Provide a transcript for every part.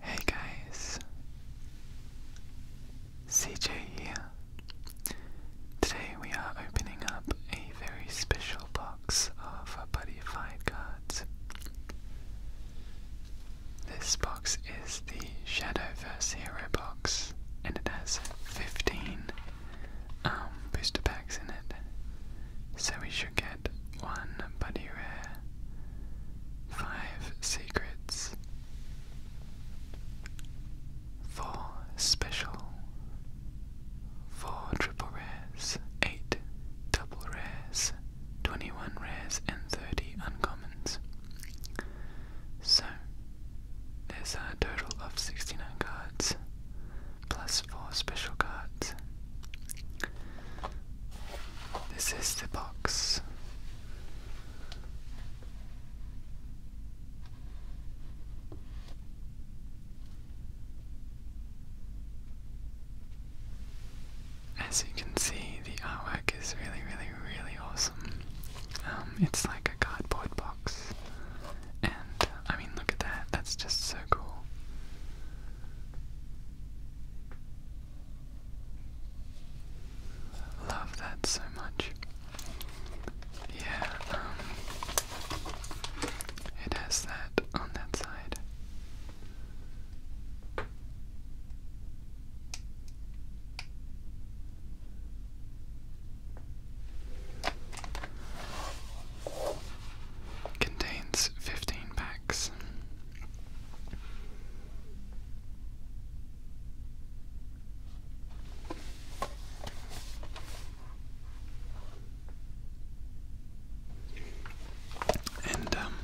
Hey guys, CJ here. Today we are opening up a very special box of Buddy Fight cards. This box is the Shadowverse Hero box, and it has 15 um, booster packs in it. So we should get one Buddy Rare, five secrets, four special, four triple rares, eight double rares, 21 rares, and 30 uncommons. So, there's a total of 69 cards, plus 4 special cards. This is the box. As you can see, the artwork is really, really, really awesome. Um, it's like a cardboard box, and uh, I mean, look at that, that's just so cool. Love that so much. Yeah, um, it has that on that side. Contains fifteen packs. And um,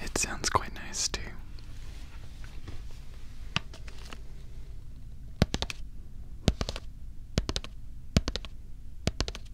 it sounds quite nice too.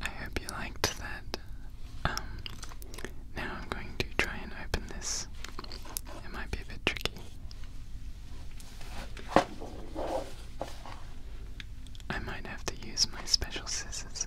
I hope you liked that. Um, now I'm going to try and open this. It might be a bit tricky. I might have to use my special scissors.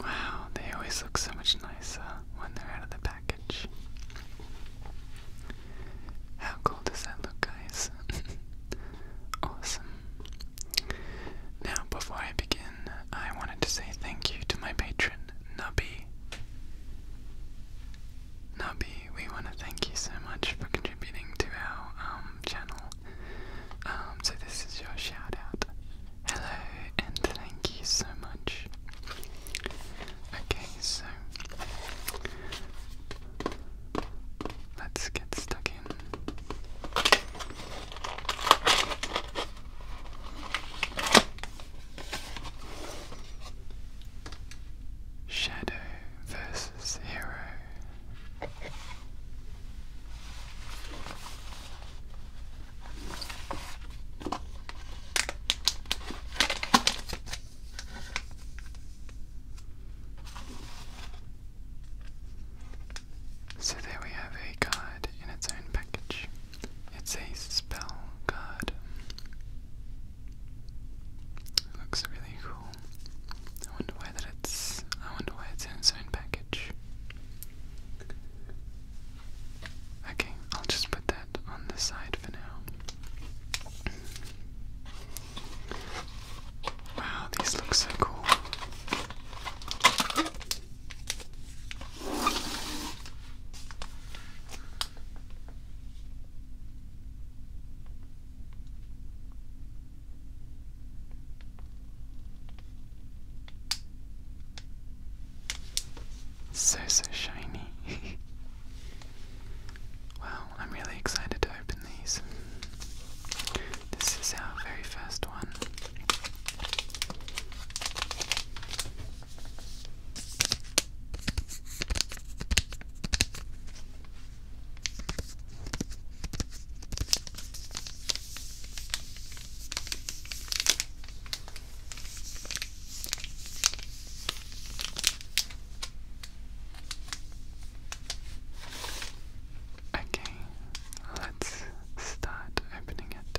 Wow, they always look so much nicer when they're out of the package. How cool does that look, guys? awesome. Now, before I begin, I wanted to say thank you to my patron, Nubby. Nubby, we want to thank you so much for contributing to our um, channel. Um, so this is your shout out. Hello and thank you so much. Okay, so let's get stuck in. Shadow versus Hero. So there we have a card in its own package. It's a spell card looks really cool. I wonder why that it's I wonder why it's in its own package. Okay, I'll just put that on the side for now. Wow, these look so cool. So, so shiny. wow, I'm really excited to open these. This is our very first one. Okay, let's start opening it.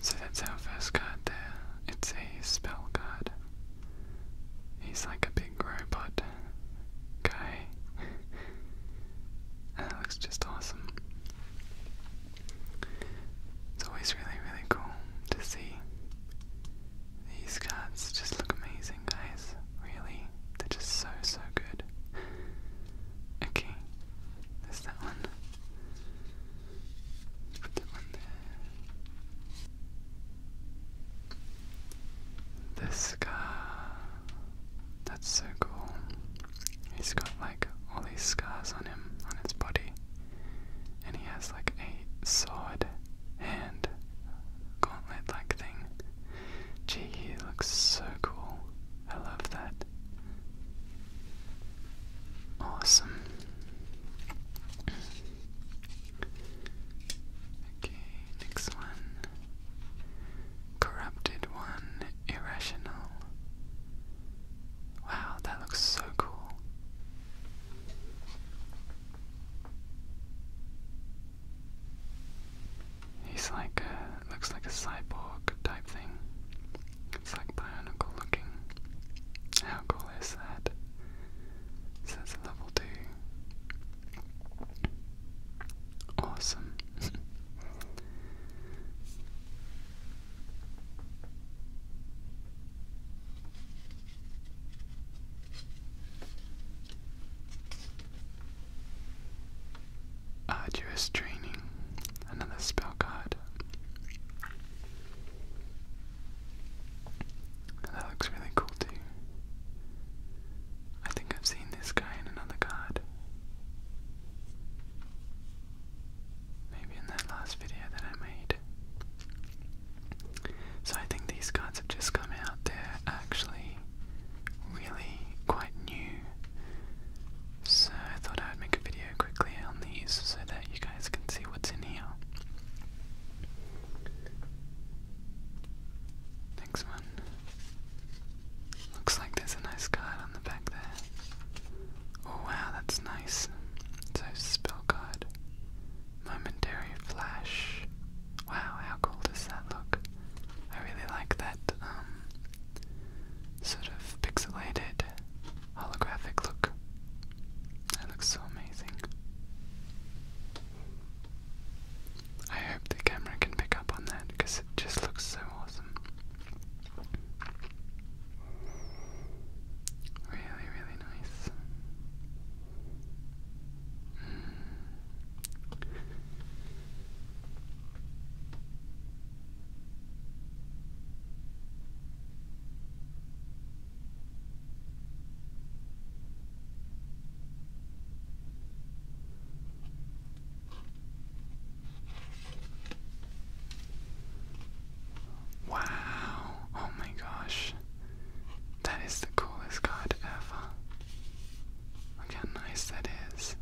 So that's our first card there. It's a spell card. He's like a big robot guy. and it looks just awesome. It's always really, really cool to see. These cards just look amazing, guys. Really. They're just so, so good. Okay that one. Put that one there. This scar. That's so cool. He's got like all these scars on him, on his body. And he has like a sword hand gauntlet like thing. Gee, he looks so cool. I love that. Awesome. Okay, next one. Corrupted one, irrational. Wow, that looks so cool. He's like a, looks like a cyborg type thing. It's like bionicle looking. How cool is that? So it's level 2. Awesome. Arduous training. Another spell card. That looks really cool too. I think I've seen this guy in another card. Maybe in that last video that I made. So I think these cards have just come out. They're actually really quite new so I thought I would make a video quickly on these so that you guys can see what's in here. Next one. Looks like there's a nice card on the back there. Oh wow, that's nice. So spell card. Momentary flash. Wow, how cool does that look? I really like that um, sort of pixelated holographic look. That looks so amazing. I hope the camera can pick up on that because it just looks so awesome. Really, really nice. Hmm. Wow, oh my gosh, that is the coolest card ever. Look how nice that is.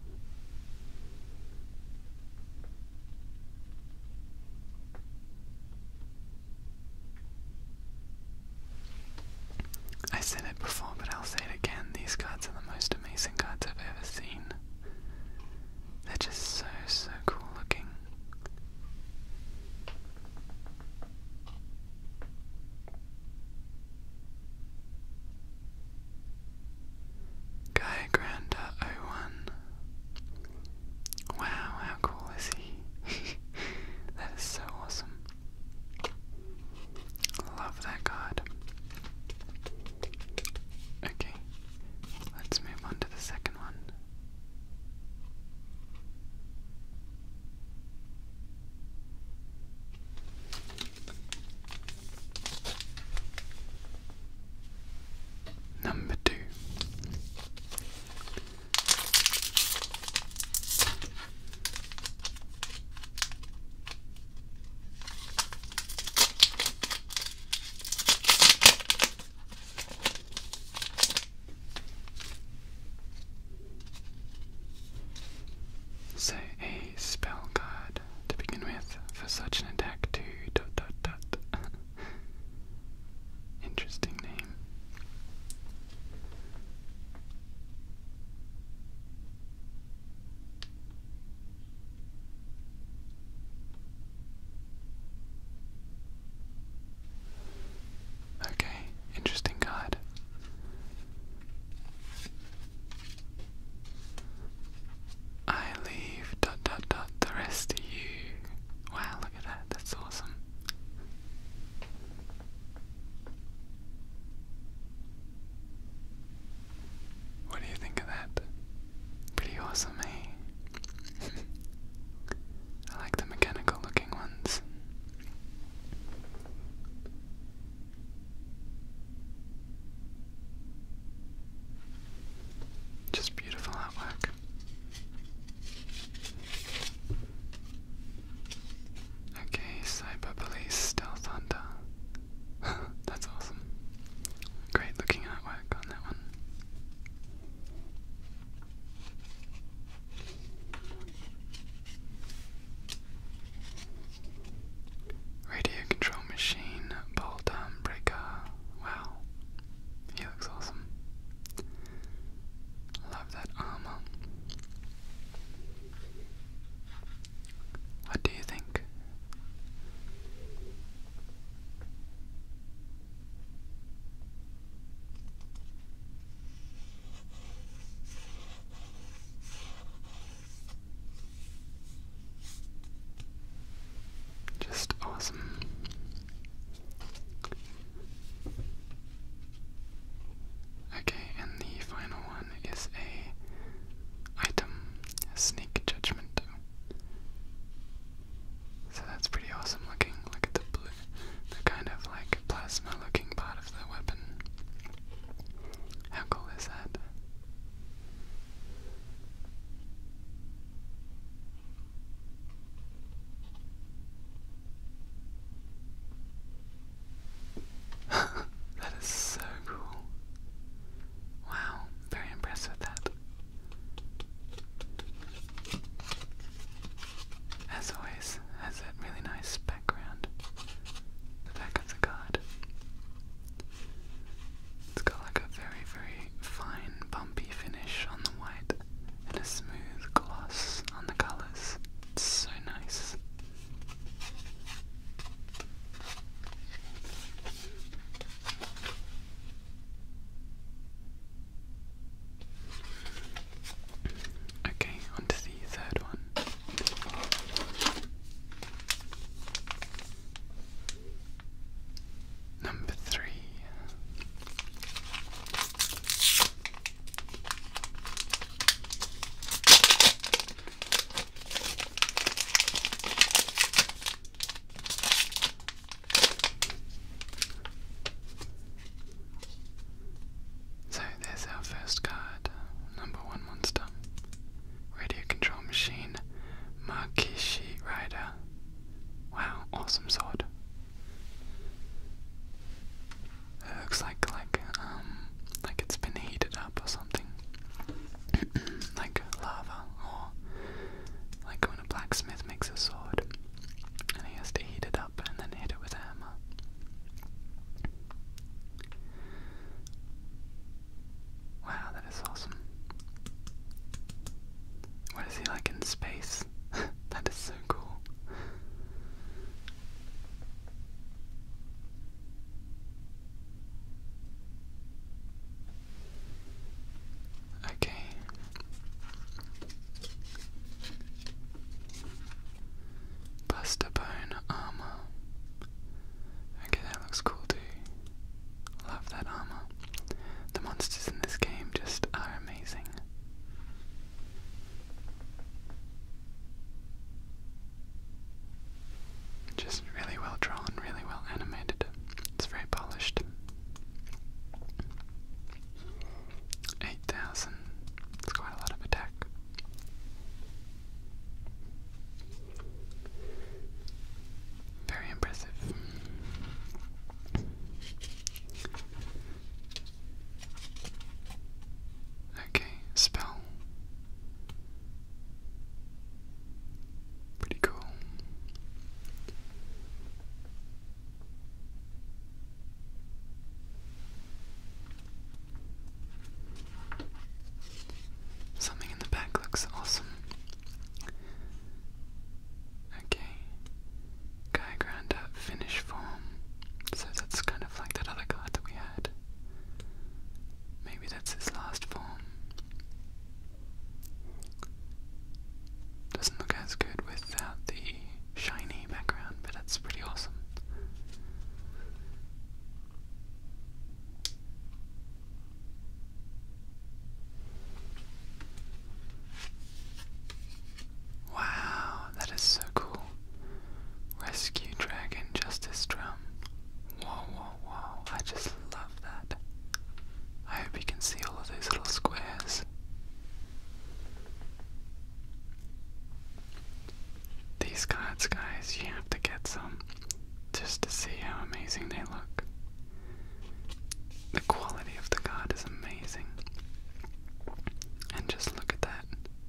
I said it before, but I'll say it again. These cards are the most amazing cards I've ever seen. They're just so, so cool looking. Guy Granda 01. Wow, how cool is he? that is so awesome. Love that card. Okay, let's move on to the second one. Number two. So, a spell card to begin with for such an attack to dot dot dot. Interesting name. Okay, interesting card. I leave dot dot dot the rest to you. Wow, look at that, that's awesome. What do you think of that? Pretty awesome, eh? I like the mechanical looking ones. Just beautiful artwork. Okay, Cyber Police Stealth Hunter. That's awesome. Great looking artwork on that one. Radio control machine, ball down breaker. Wow, he looks awesome. Love that armor. What do you think? Just awesome. Okay, and the final one is a item, sneak judgment. So that's pretty awesome looking. Look at the blue, the kind of like plasma looking part of the weapon. How cool is that? that is so cool. Wow, very impressed with that. As always, has that really nice background. The back of it's got like a very, very fine, bumpy finish on the white and a smooth gloss on the colors. It's so nice. Okay, on to the third one. Number three. So there's our first card, number 100 monster. Radio control machine. Makishi Rider. Wow, awesome sword. It looks like like um like it's been heated up or something. like lava or like when a blacksmith makes a sword and he has to heat it up and then hit it with hammer. Wow, that is awesome. What is he like in space? that is so cool. Okay. Buster armor. Okay, that looks cool too. Love that armor. The monsters in this game just are amazing. Just really well drawn, really well animated. It's very polished. 8,000. It's quite a lot of attack. Very impressive. Okay, spell. Pretty cool. Something in the back looks awesome. Okay. Guy ground up form. So that's kind of like that other card that we had. Maybe that's his last form. Doesn't look as good without the shiny background, but that's pretty awesome. Wow, that is so cool. Rescue Dragon Justice Drum. Whoa, whoa, whoa. I just love that. I hope you can see all of those little squares. These cards, guys, you have to get some just to see how amazing they look. The quality of the god is amazing. And just look at that.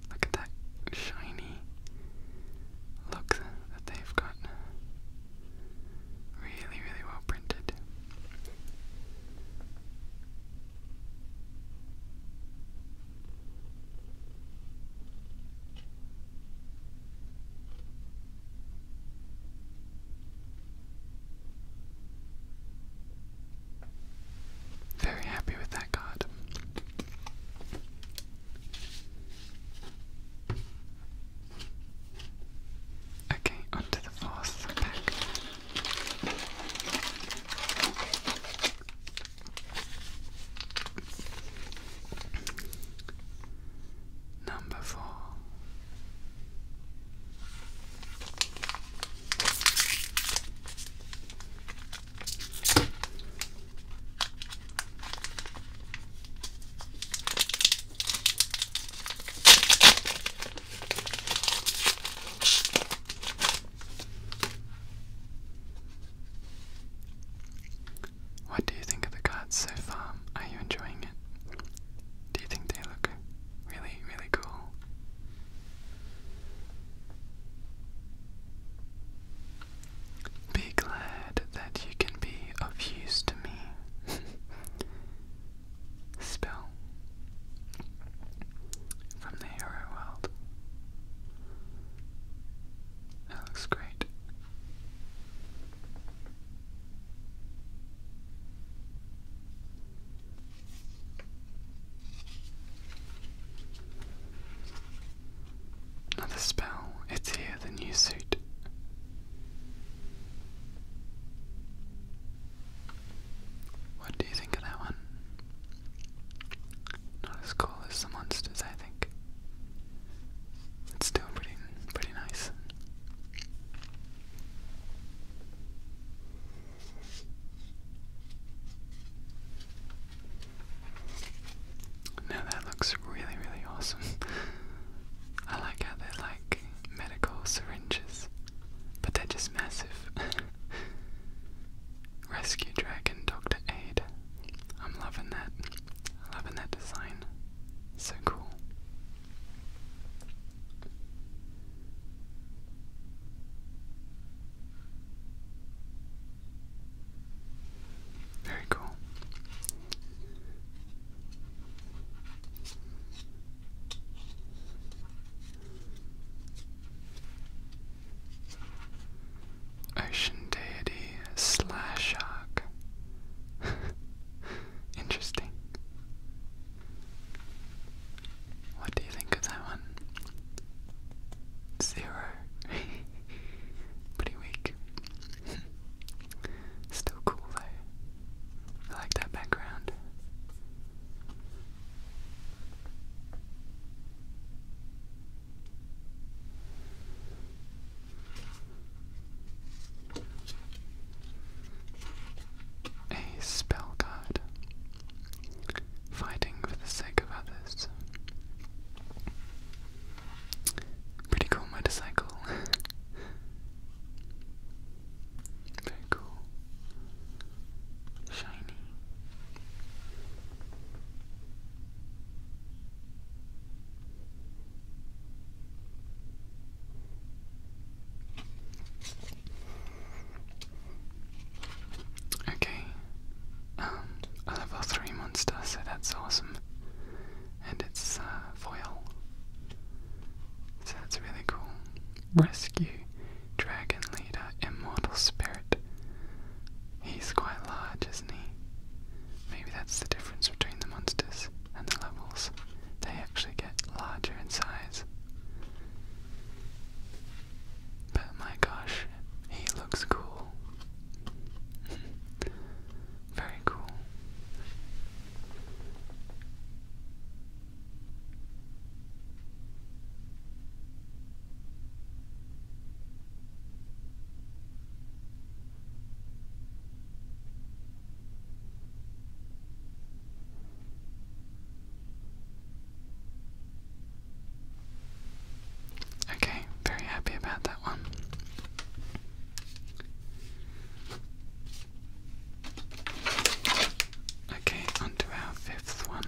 Look at that shiny look that they've got. Really, really well printed. Very happy with that card. Okay, on the fourth pack. Number four. What do you think of the cards so far? Are you enjoying it? Do you think they look really, really cool? Be glad that you can be of use to me. Spell from the hero world. That looks great. Another spell, it's here, the new suit. What do you think of that one? Not as cool as the monsters, I think. It's still pretty, pretty nice. Now that looks really, really awesome. I like how they're like medical syringes, but they're just massive. Rescue Dragon Dr. Aid. I'm loving that. Loving that design. So cool. Very cool. Ocean Deity Slash Shark. Interesting. What do you think of that one? Zero. Pretty weak. Still cool though. I like that background. A spell card. Fighting for the sake of others. Pretty cool motorcycle. Very cool. Shiny. Okay. Um, level three monster, so that's awesome. And it's uh, foil. So that's really cool. Rescue Dragon Leader Immortal Spirit. He's quite large, isn't he? Maybe that's the difference between the monsters and the levels. They actually get larger in size. But my gosh, he looks cool. Very cool. Okay, very happy about that one. Okay, on our fifth one.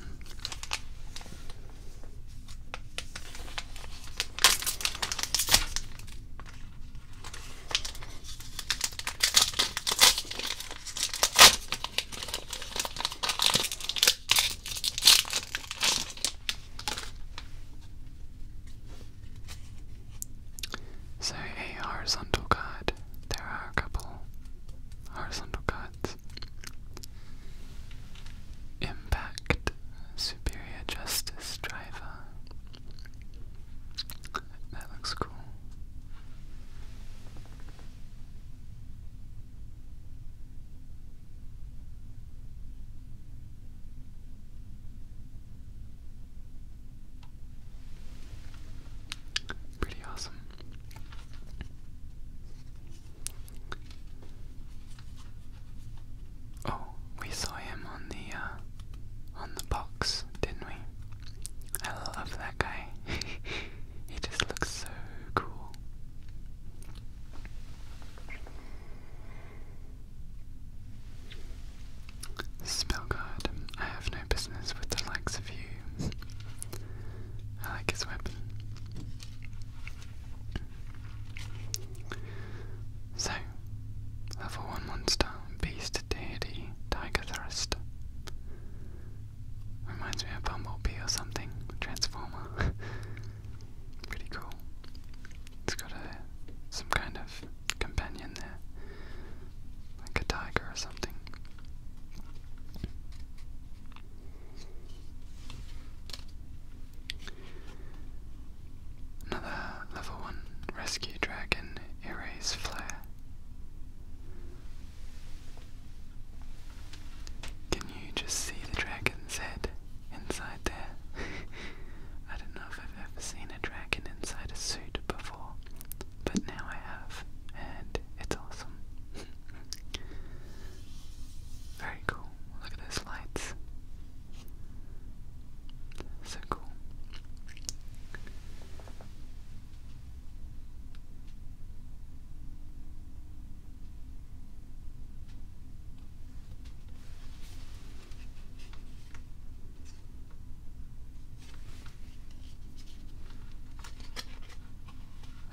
So a horizontal card, there are a couple horizontal cards. Impact Superior Justice Driver that looks cool. Pretty awesome. Oh, we saw him on the uh, on the box, didn't we? I love that guy. he just looks so cool. Spellguard, I have no business with the likes of you. I like his weapon. So, level 1 monster, beast, deity, tiger thrust. Reminds me of Bumblebee or something, Transformer. Pretty cool. It's got a, some kind of companion there, like a tiger or something. Another level 1 rescue dragon, Erase Flare. Can you just see the dragon's head inside there? I don't know if I've ever seen a dragon inside a suit before, but now I have, and it's awesome. Very cool. Look at those lights. So cool.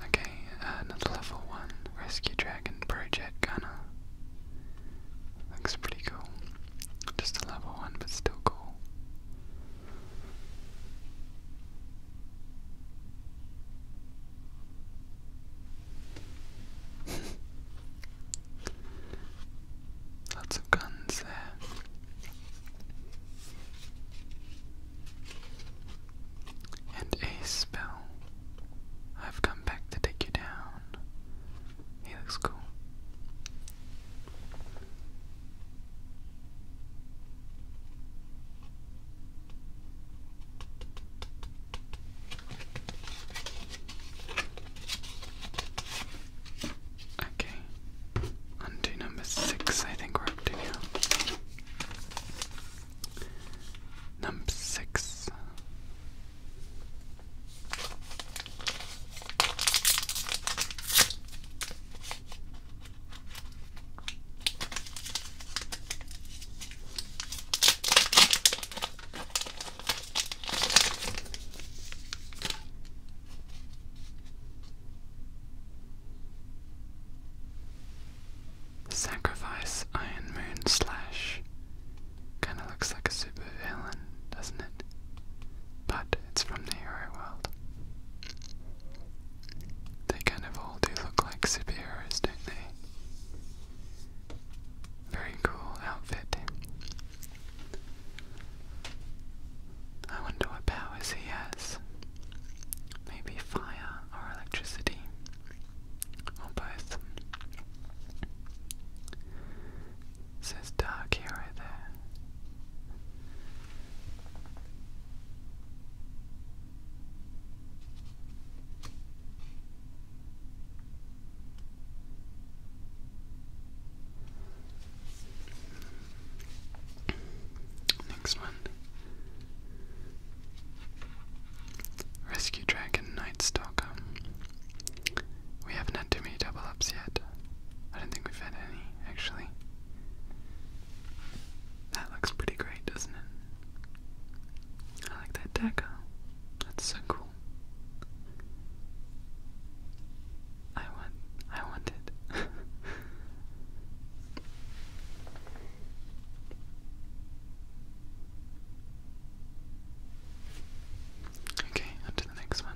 Okay, another level 1 Rescue Dragon Project Gunner. Looks pretty cool. Just a level one, but still cool. Lots of guns there. And a spell. I've come back to take you down. He looks cool. Okay, on number six, I think we're up to now. Number six. Sacrifice Iron Moon Slash Kinda looks like a supervillain, doesn't it? But it's from the hero world. They kind of all do look like superheroes, don't they? Very cool outfit. I wonder what powers he has. Maybe fire or electricity. Or both. It says dark here right there. Next one. Rescue Dragon Night Stalker. We haven't had too many double ups yet. I don't think we've had any, actually. That looks pretty great, doesn't it? I like that deco. That's so cool. I want I want it. Okay, on the next one.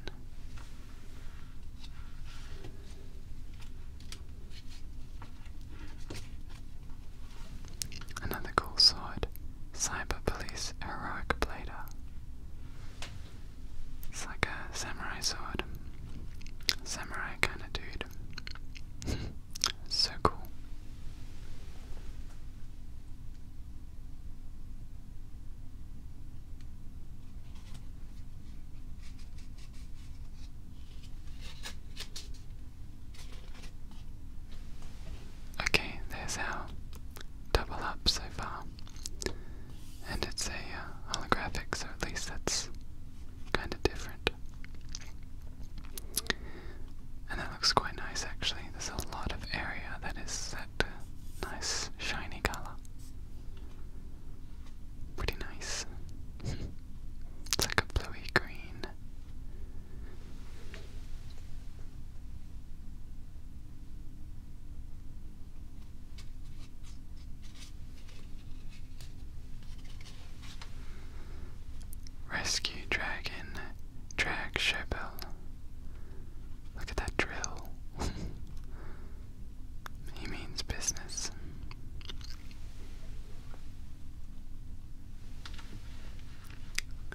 Another cool sword. Cyber Police Heroic Blader. It's like a samurai sword. Samurai kind of dude. so cool. Okay, there's our double up so far. And it's a uh, holographic, so at least that's kind of different looks quite nice actually. There's a lot of area that is that nice shiny color. Pretty nice. it's like a bluey green. Rescue Dragon Drag Shebel. Look at that drill. he means business.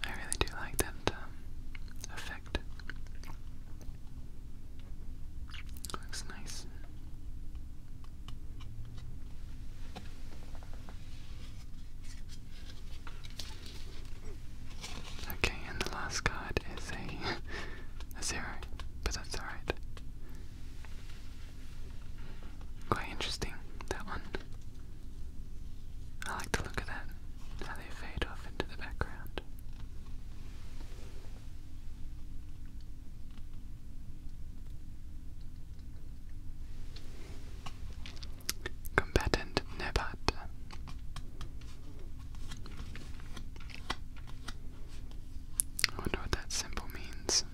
I really do like that um, effect. Looks nice. Okay, and the last card is a, zero, but that's alright. Quite interesting, that one. I like to look at that, how they fade off into the background. Combatant Nebat. I wonder what that symbol means.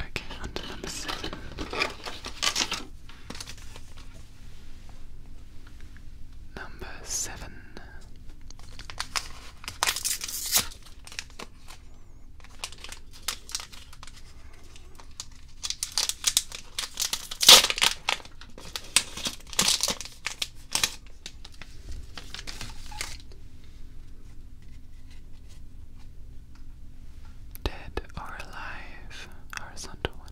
Okay, on number seven. Number seven. Dead or alive, horizontal one.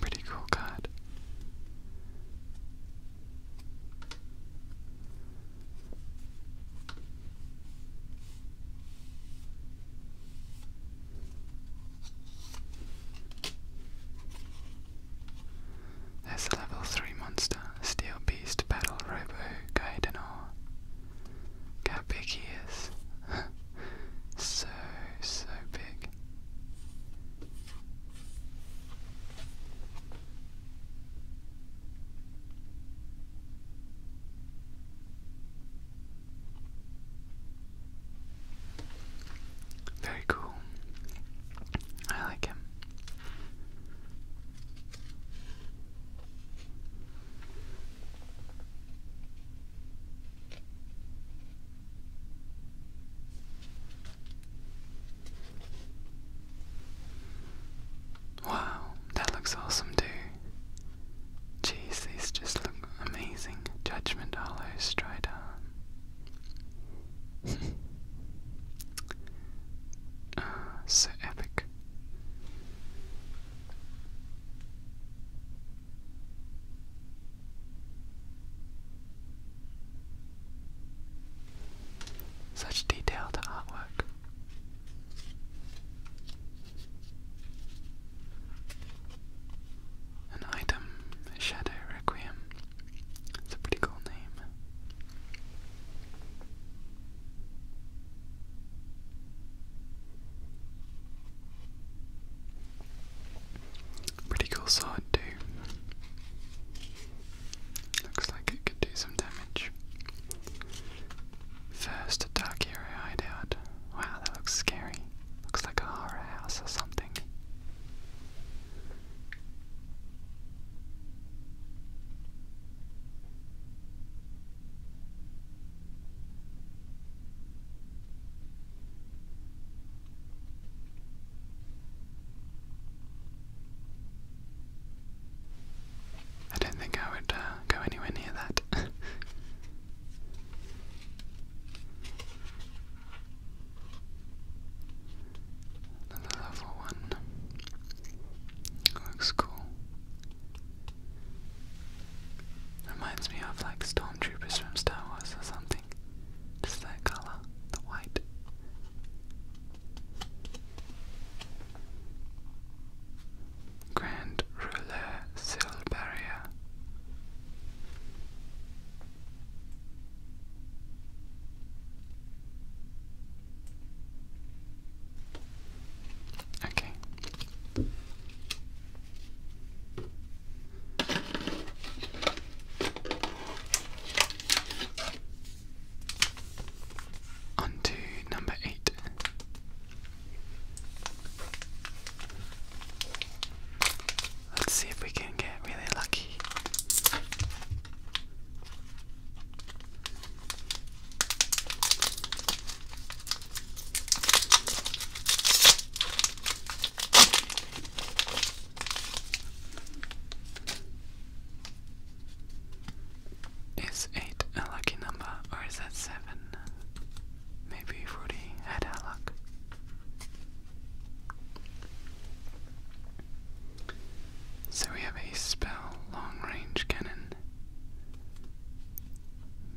Pretty cool card. There's a level 3 monster, Steel Beast Battle Robo Gaidano how big he is. so, so big. Very cool. I like him. Wow, that looks awesome too. Jeez, these just look amazing. Judgment Hollow Stridon. Ah, so epic. Such detailed artwork. An item, Shadow Requiem. It's a pretty cool name. Pretty cool sword too. Looks like it could do some damage. First dark area hide out. Wow, that looks scary. Looks like a horror house or something. I don't think I would uh, go anywhere near that. Another level one. Looks cool. Reminds me of like stormtroopers from Star Wars or something. Just that color, the white. Grand Ruler Seal Okay. On number eight. Let's see if we can get really lucky. Is 8 a lucky number or is that 7? Maybe Rudy had our luck. So we have a spell long range cannon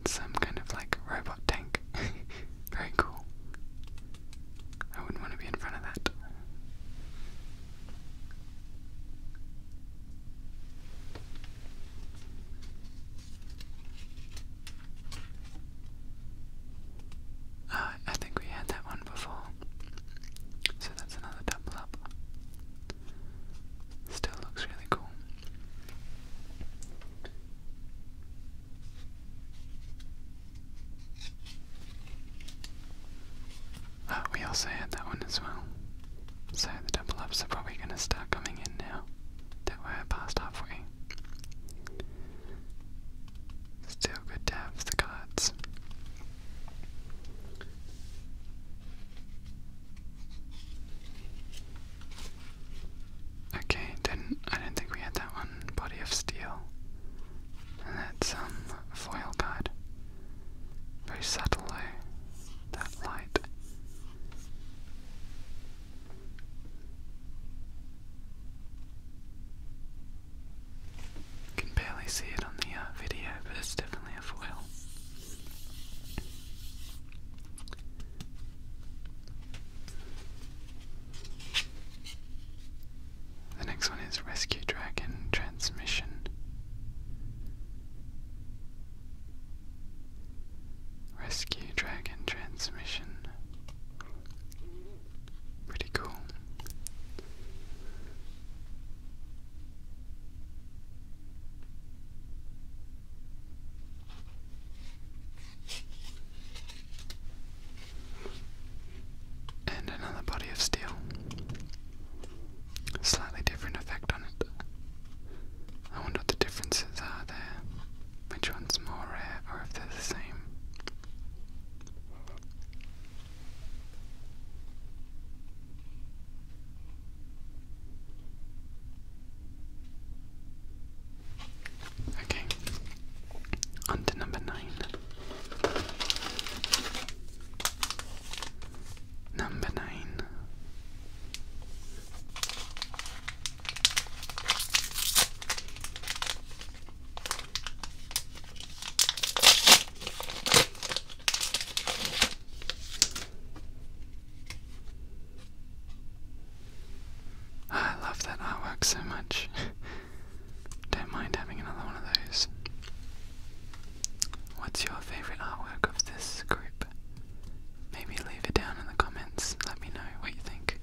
some kind of like robot tank. Very cool. I wouldn't want to be in front of that. Ah, I think we had that one before. So that's another double up. Still looks really cool. Oh, we also had that one as well. So the double ups are probably going to start coming in now that we past halfway. Still good to cards. Okay, didn't I didn't think we had that one. Body of steel. And that's um foil God. Very subtle though, that light. Can barely see it on the uh, video, but it's definitely a foil. The next one is Rescue Dragon Transmission. Rescue Dragon Transmission. Pretty cool. And another body of steel. Slightly different effect on it. I wonder what the differences are there. Which one's more rare or if they're the same. Okay. On to number nine. Number nine. I love that artwork so much. Don't mind having another one of those. What's your favourite artwork of this group? Maybe leave it down in the comments. Let me know what you think.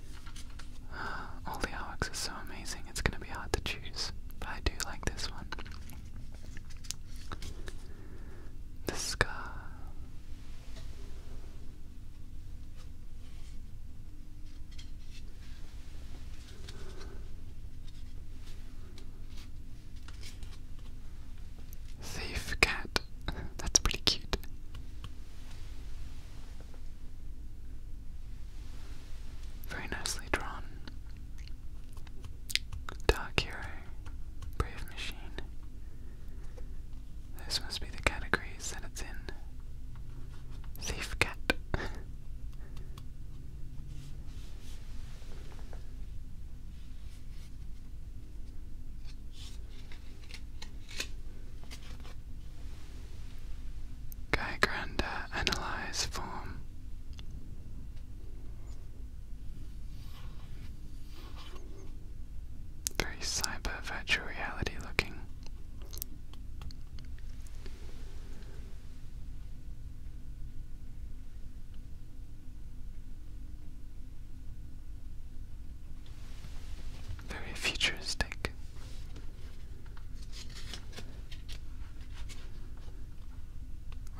all the artworks are so amazing, it's going to be hard to choose, but I do like this one. The scar. Safe cat. That's pretty cute. Very nicely drawn. Dark hero, brave machine. This must be the categories that it's in. Thief cat. Guy Grander analyze form very cyber virtual reality looking. Very futuristic.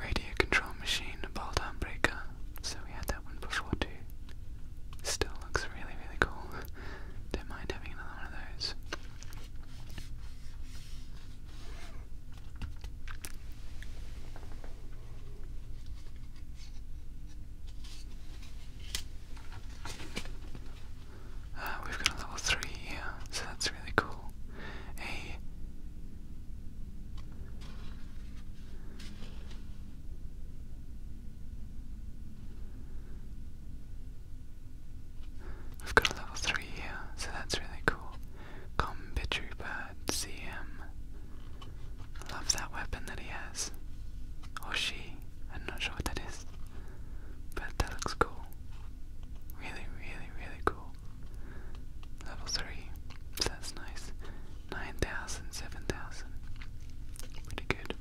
Radio control machine, bolt breaker. So we had that one before too. Still looks really, really cool. Don't mind having another one of those. Ah, we've got a level 3 here, so that's really cool. A I've got a level 3 here, so that's really cool. Combi Trooper CM. I that weapon that he has. Or she, I'm not sure what that is. But that looks cool. Really, really, really cool. Level 3, so that's nice. 9,000, Pretty good.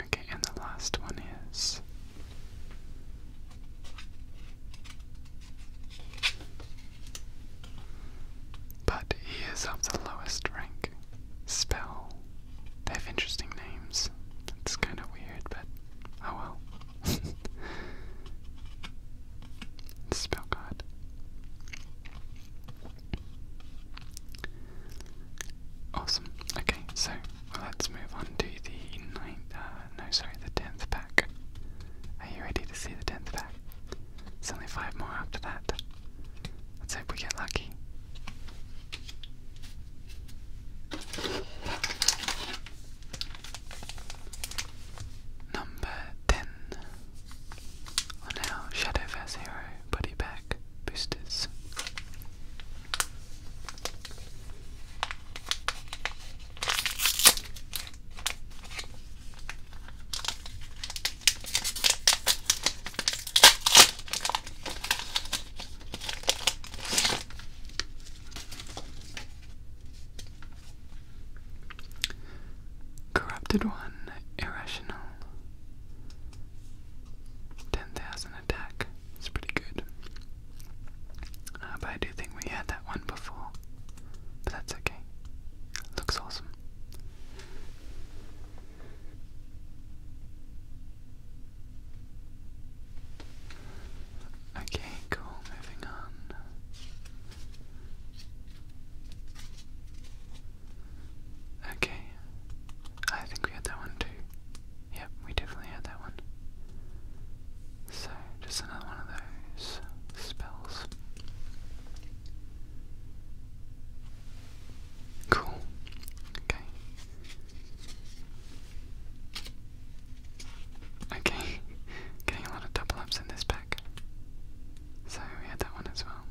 Okay, and the last one is. But he is of the lowest rank. Spell. They have interesting names. It's kind of weird, but oh well. Spell God. Awesome. Okay, so let's move on to the ninth. Uh, no, sorry, the tenth pack. Are you ready to see the tenth pack? It's only five more after that. Let's hope we get lucky. Number 10. Are now Shadowverse Hero Buddy Pack boosters. Corrupted one, irrational. 10,000 attack. It's pretty good. Uh, but I do think we had that one before. But that's okay. Looks awesome. Okay, cool, moving on. Okay. I think we had that one too. Yep, we definitely had that one. So, just another one of those spells. Cool. Okay. Okay. Getting a lot of double ups in this pack. So we had that one as well.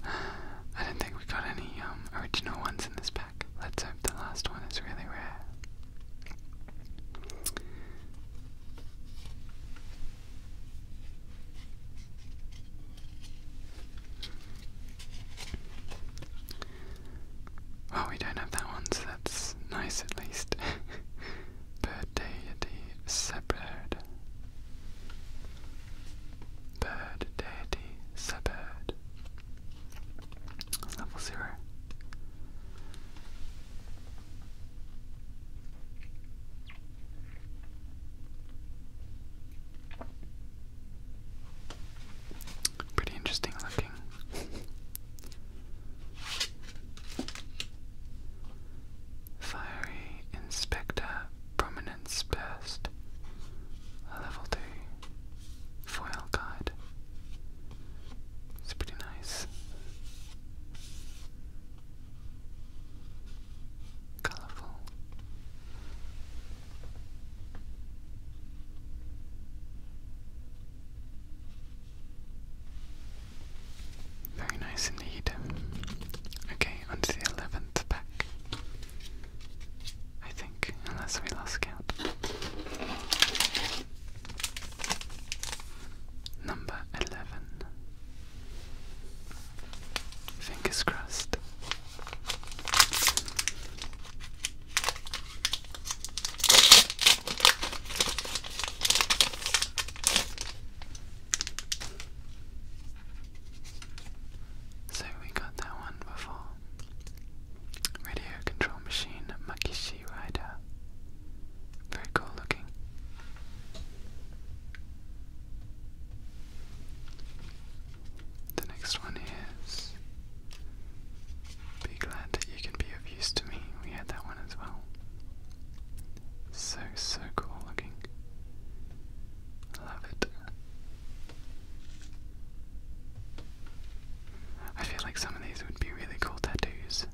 I don't think we got any um, original ones in this pack. Let's hope the last one is really rare. Well, oh, we don't have that one, so that's nice at least. Bird deity separate. Bird deity separate. Level zero. Pretty interesting looking. Fiery Inspector Prominence Burst. Level 2. Foil guide. It's pretty nice colorful. Very nice indeed. Okay, on the 11th pack. I think, unless we lost count. Number 11. Fingers crossed. So we got that one before. Radio control machine Makishi Rider. Very cool looking. The next one is Be glad that you can be of use to me. We had that one as well. So, so cool looking. Love it. I feel like some of these would be really cool tattoos.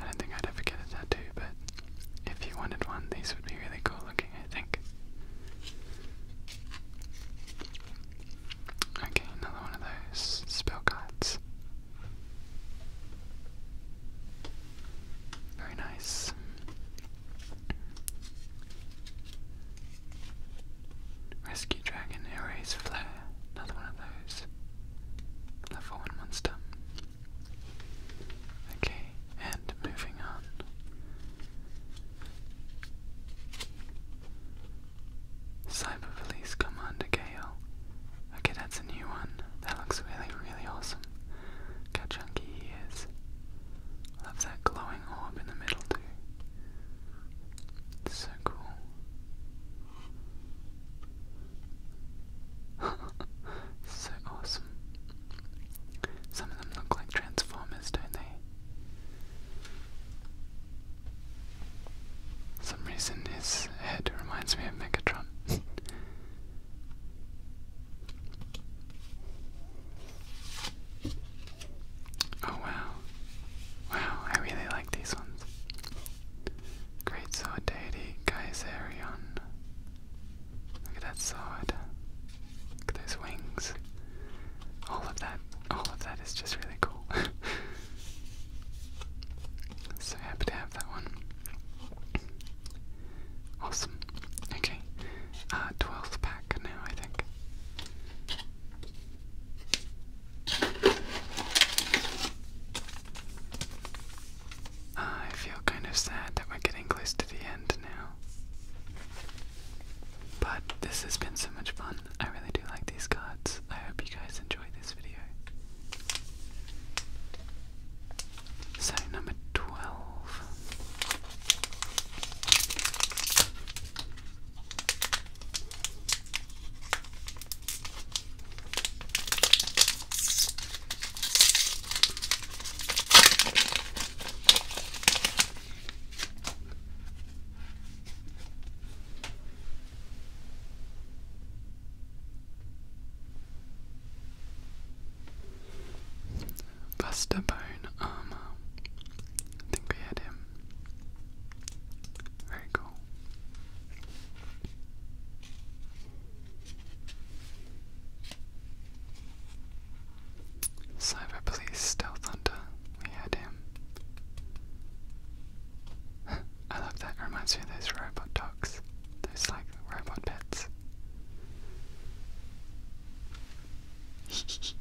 I don't think I'd ever get a tattoo, but if you wanted one, these would be really cool looking, I think. Okay, another one of those spell cards. Very nice. Rescue Dragon Ares Flare, another one of those. Level 1 monster. Okay, and moving on. Cyber Police Commander Gale. Okay, that's a new one. That looks really, really awesome. how chunky he is. Love that glowing orb in the middle too. It's so cool. so awesome. Some of them look like Transformers, don't they? some reason his head reminds me of Megatron. oh wow. Wow, I really like these ones. Great Sword Kaiserion. Look at that sword. Look at those wings. All of that, all of that is just really cool. so happy to have that one. Awesome. Okay. 12th uh, pack now, I think. I feel kind of sad that we're getting close to the end now. But this has been so much fun. I really do like these cards. I hope you guys enjoy this video. So, number 12. Buster Bone Armor. Um, I think we had him. Very cool. Cyber Police Stealth Hunter, we had him. I love that, reminds me of those robot dogs, those like robot pets.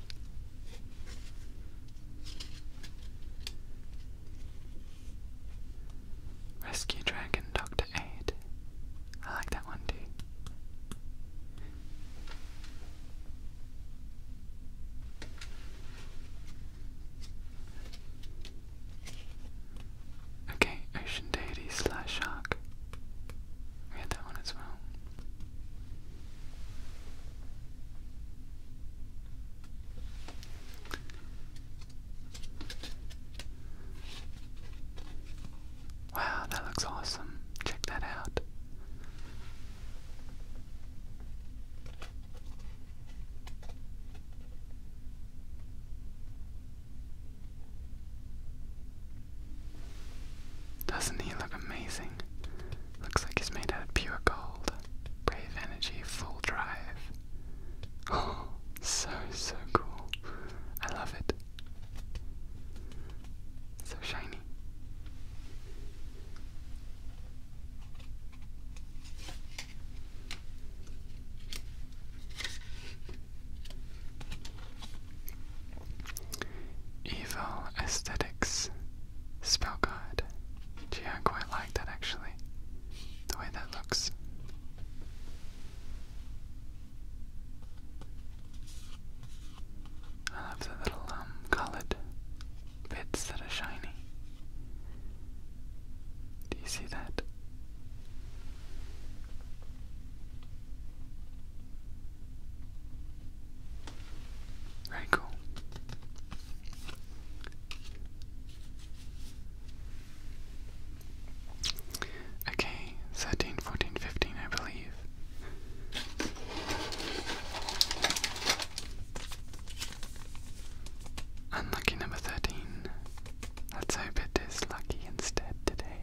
Rescue Dragon Doctor Eight. I like that one too. Okay, Ocean Deity slash Shark. We had that one as well. Wow, that looks awesome. Check that out. Doesn't he look amazing? Looks like he's made out of pure gold. Brave energy, full drive. Oh, so, so cool. I love it. So shiny. Evil Aesthetics Spell Guide. Gee, I quite like that actually. The way that looks. I love the little um, colored bits that are shiny. Do you see that? Very cool. Okay, 13, 14, 15, I believe. Unlucky number 13. Let's hope it is lucky instead today.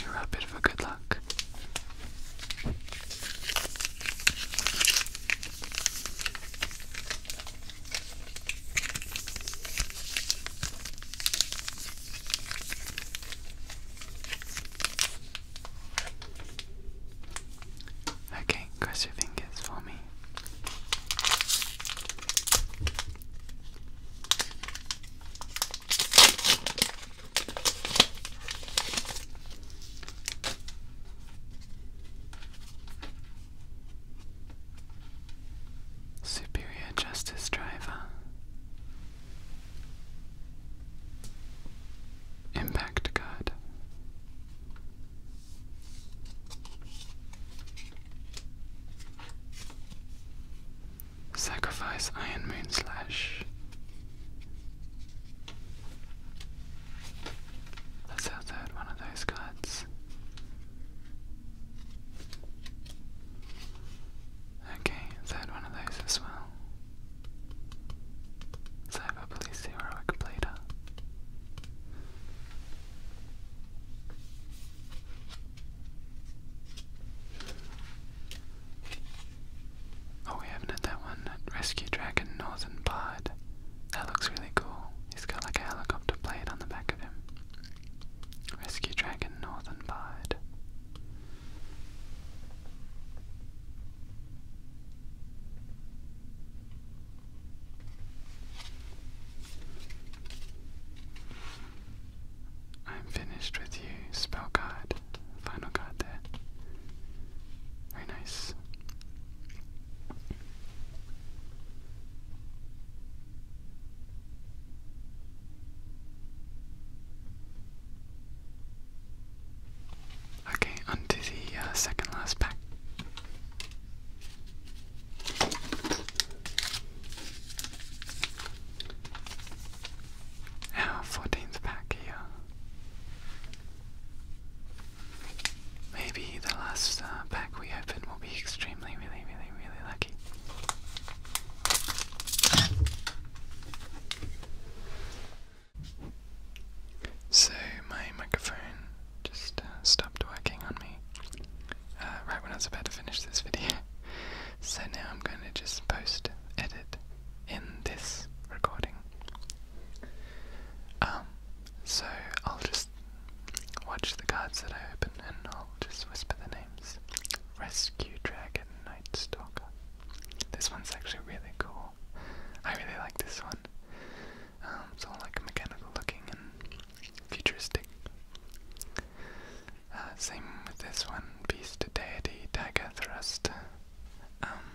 We were a bit for good luck. Okay, cross your fingers for me. Superior Justice Driver Impact Guard Sacrifice Iron Moon Slash Let's outside one of those cards. Okay, third one of those as well. Cyber Police Heroic Blader. Oh, we haven't had that one. Rescue Dragon Northern Bard. That looks really cool. He's got like a helicopter blade on the back of him. Rescue Dragon Northern Bide. I'm finished with you, spell card. Final card there. Very nice. Okay, onto the uh, second last pack. Our fourteenth pack here. Maybe the last uh, pack we open will be extremely, really, really, really lucky. So my microphone just uh, stopped working on me uh, right when I was about to finish this video. So now I'm going to just post edit in this recording. Um, so I'll just watch the cards that I open and I'll just whisper the names. Rescue Dragon Night Stalker. This one's actually really cool. I really like this one. Um, it's all like mechanical looking and futuristic. Uh, same with this one, Beast Deity Dagger Thrust. Um,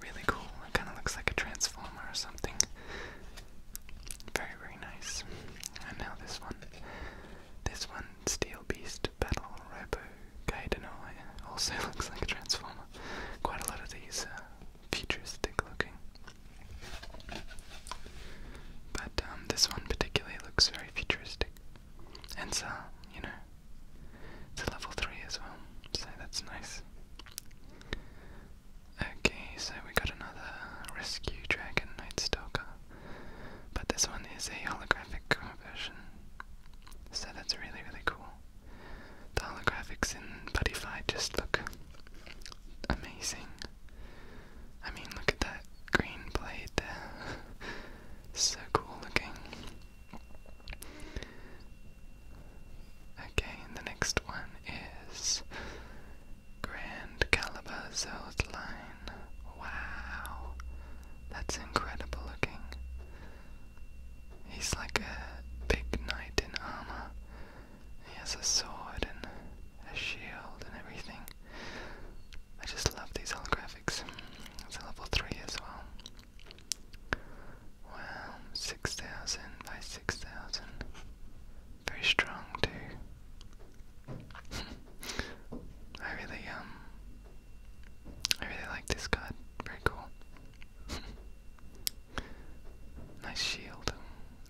really cool. It kind of looks like a transformer or something. Very, very nice. And now this one. This one, Steel Beast Battle Robo Kaidenoi, also looks like a transformer. Quite a lot of these uh, futuristic looking. But um, this one particularly looks very futuristic. And so, uh, you know, it's a level 3 as well, so that's nice. Okay, so we got another rescue dragon night stalker. But this one is a holographic version. So that's really really cool. The holographics in Buddyfy just look amazing. I mean look at that green blade there. so cool looking. Okay, and the next one is Grand Calabazo's line. Wow, that's incredible looking. He's like a big knight in armor. He has a sword and a shield and everything. I just love these holographics. It's a level 3 as well. Wow, 6,000 by 6,000. Very strong, too. I really, um, I really like this card. Very cool. nice shield.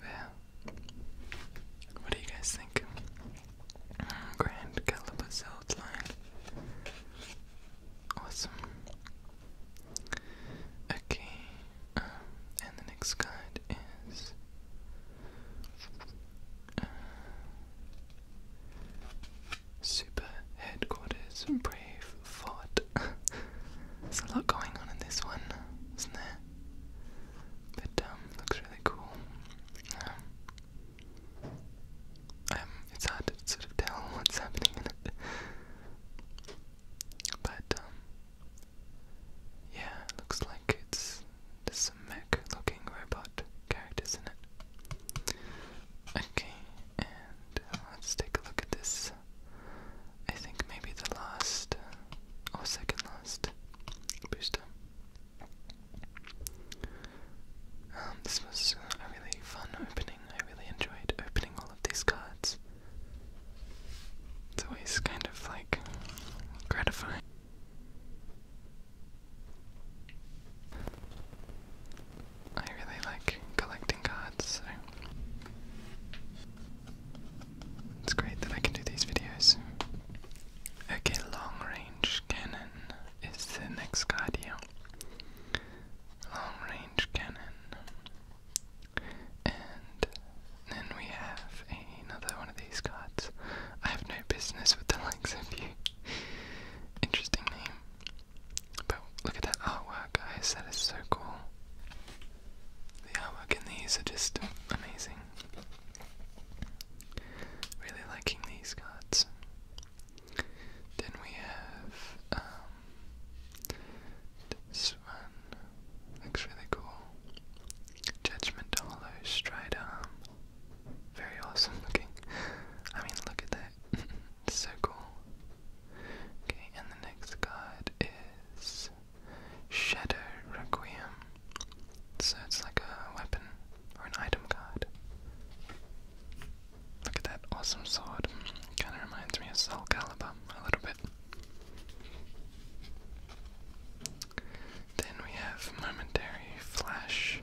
Yeah. What do you guys think? Mm, grand Caliber Zeld Awesome. Okay, um, and the next card is uh, Super Headquarters Brave Fort. There's a lot going on in this one, isn't there? But um, looks really cool. um, um it's hard to sort of tell what's happening in it. But, um, yeah, looks like it's some mech looking robot characters in it. Okay, and uh, let's take a look at this. I think maybe the last uh, or second last booster. Um, this was a really fun opening. I really enjoyed opening all of these cards. It's always kind of like gratifying. I really like collecting cards, so it's great that I can do these videos. Okay, long range cannon is the next card here. Long range cannon. And then we have another one of these cards. I have no business with the likes of you. Interesting name. But look at that artwork, guys. That is so cool. The artwork in these are just amazing. Really liking these cards. Then we have um, this one looks really cool. Judgment Hollow Stride Arm. Very awesome looking. I mean, look at that. it's so cool. Okay, and the next card is Shadow Requiem. So it's like a weapon or an item card. Look at that awesome sword. Kind of reminds me of Soul Calibur a little bit. Then we have Momentary Flash.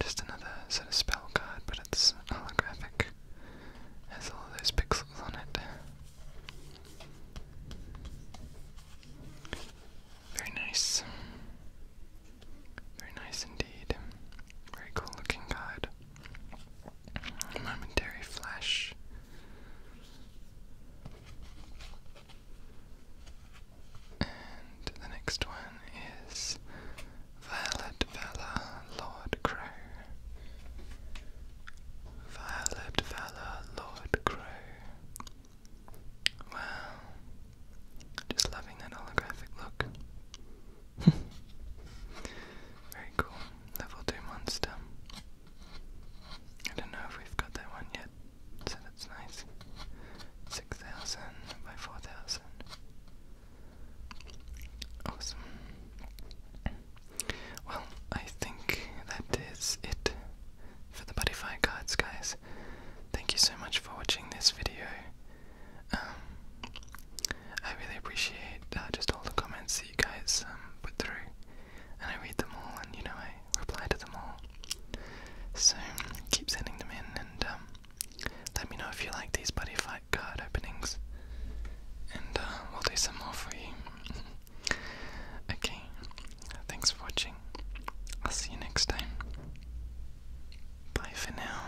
Just another sort of spell card, but it's holographic. Has all those pixels on it. Very nice. Very nice indeed. Very cool looking guide. Momentary flash. And the next one is Violet Valor Lord Crow. Violet Valor Lord Crow. Wow. Just loving that holographic look. Very cool. Level 2 monster. I don't know if we've got that one yet, so that's nice. 6,000 by 4,000. Awesome. Well, I think that is it for the Buddyfire cards, guys. Thank you so much for watching this video. Um, I really appreciate uh, just all the comments that you guys um, put through, and I read them all, and you know I reply to them all. So keep sending them in, and um, let me know if you like these buddy fight card openings, and uh, we'll do some more for you. okay, thanks for watching. I'll see you next time. Bye for now.